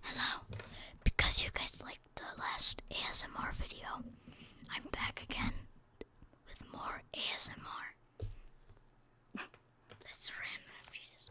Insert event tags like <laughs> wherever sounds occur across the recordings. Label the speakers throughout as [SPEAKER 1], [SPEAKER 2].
[SPEAKER 1] Hello. Because you guys liked the last ASMR video, I'm back again with more ASMR. <laughs> That's random, Jesus.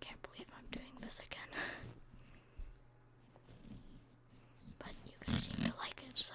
[SPEAKER 1] Can't believe I'm doing this again. but you seem to like it, so.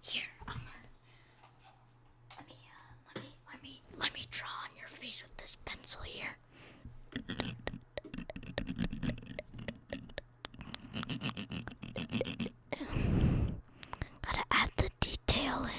[SPEAKER 1] Here, let me uh, let me let me let me draw on your face with this pencil here. Gotta add the detail in.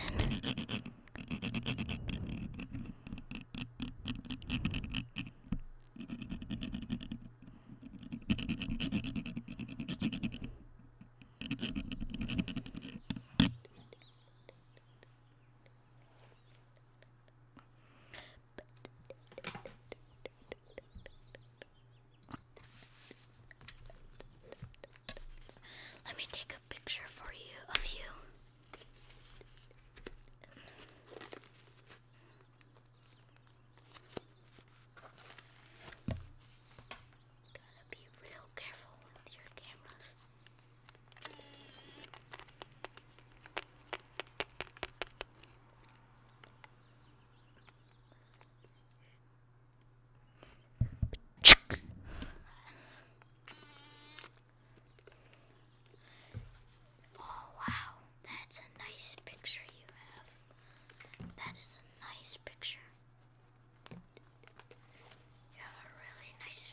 [SPEAKER 1] Let me take a picture for you of you got Oh wow, that's a nice picture you have. That is a nice picture. You have a really nice.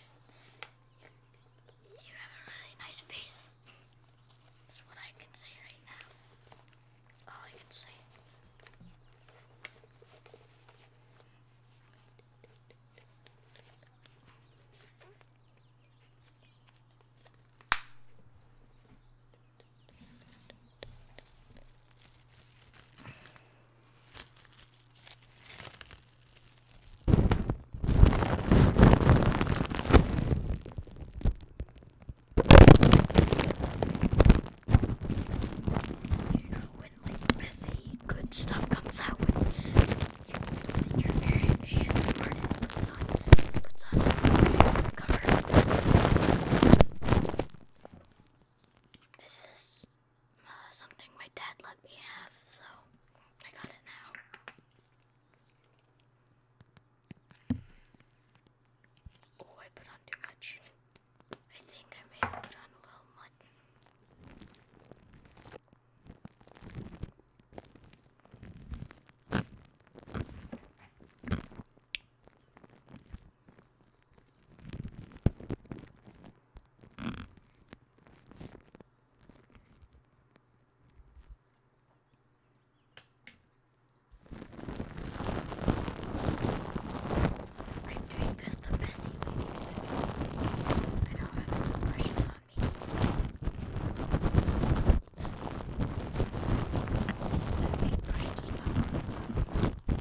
[SPEAKER 1] You, have a really nice face. That's what I can say right now. That's all I can say. When like messy good stuff comes out when your ASMR artist puts on puts on a cover. This is uh, something my dad let me have, so I got it now. Oh, I put on too much. I think I may have put on a little much. I'm doing this the best you can do. I don't have any pressure on me. I think pressure is not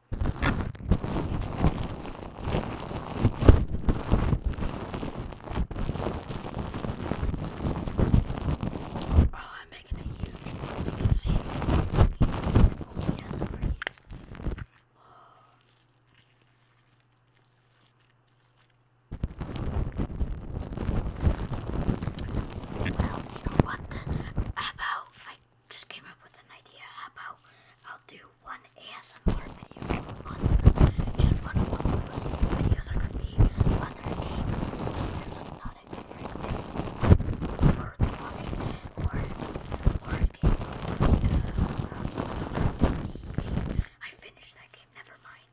[SPEAKER 1] Oh, I'm making a huge noise. You can see. Oh, yes, sorry. What the? How about I just came up with an idea? How about I'll do one ASMR video a month. Just one one videos are gonna be other games, not a favorite or the walking or or game. I finished that game, never mind.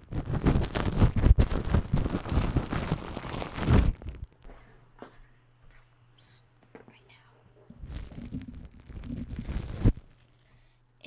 [SPEAKER 1] problems right now. A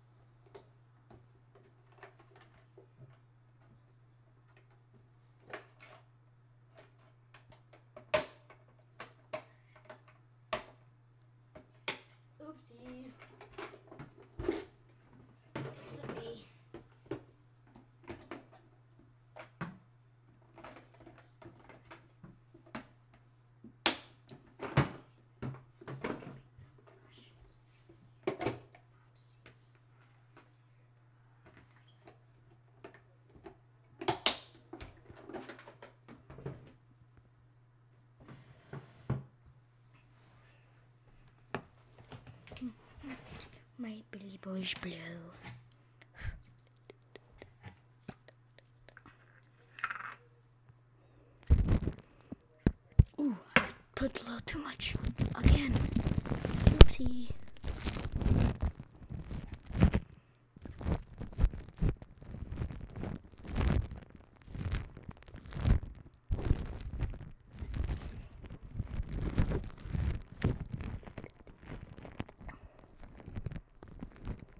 [SPEAKER 1] Oopsie. Sorry. My Billy Boy's blue. Ooh, I put a little too much. Again. Oopsie.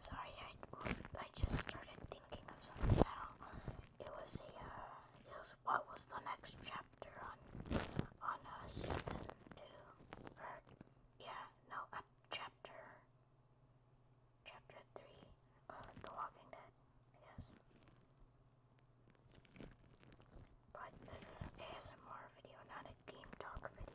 [SPEAKER 1] Sorry, I was, I just started thinking of something. It was a uh, it was what was the next chapter on on uh, season two or yeah no uh, chapter chapter three of The Walking Dead I but this is an ASMR video, not a game talk video.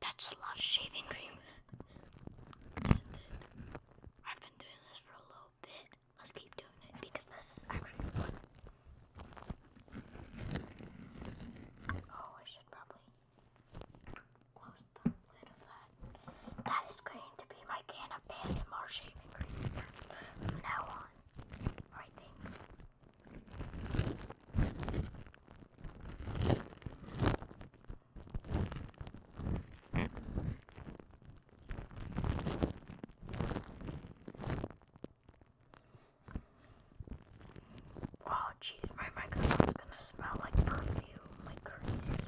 [SPEAKER 1] That's a lot of shaving cream, I've been doing this for a little bit. Let's keep doing it because this is actually fun. Oh, I should probably close the lid of that. That is going to be my can of ASMR shaving cream from now on. Right there. Oh jeez, my microphone's gonna smell like perfume, like crazy.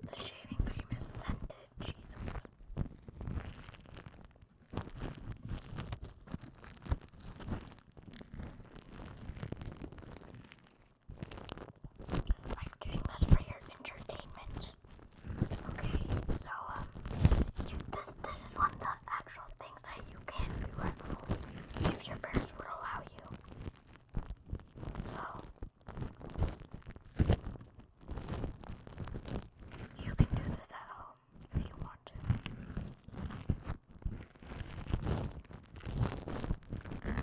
[SPEAKER 1] The shaving cream is scented, Jesus. I'm doing this for your entertainment. Okay, so um, you, this this is one of the actual things that you can do at home if your parents would allow you. So you can do this at home if you want to.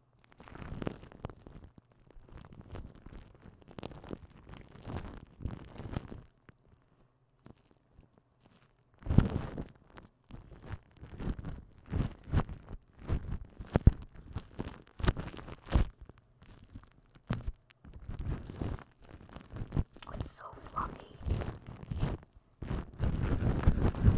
[SPEAKER 1] Oh, it's so fluffy.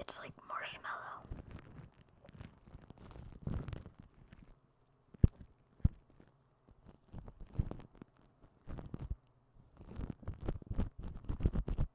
[SPEAKER 1] It's like marshmallow.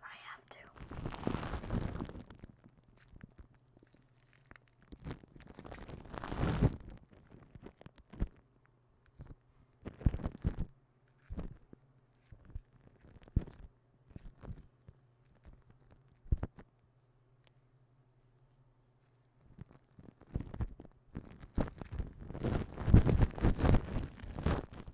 [SPEAKER 1] I have to.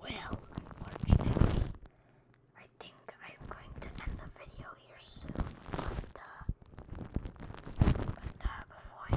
[SPEAKER 1] Well, unfortunately, I think I'm going to end the video here soon. But, uh, but uh, before I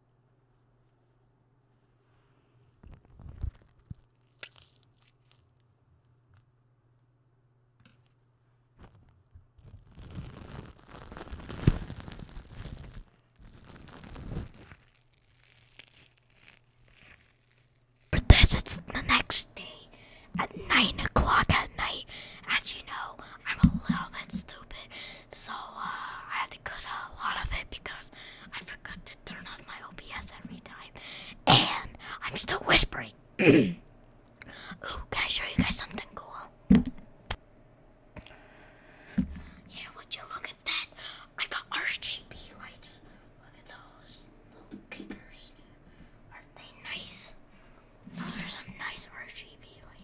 [SPEAKER 1] But this is the next day at nine o'clock at night. As you know, I'm a little bit stupid, so uh, I had to cut a lot of it because I forgot to turn off my OBS every time. And I'm still whispering. <clears throat> Ooh, can I show you guys something cool? Yeah, would you look at that? I got RGB lights. Look at those little kickers. Aren't they nice? Those oh, there's some nice RGB lights.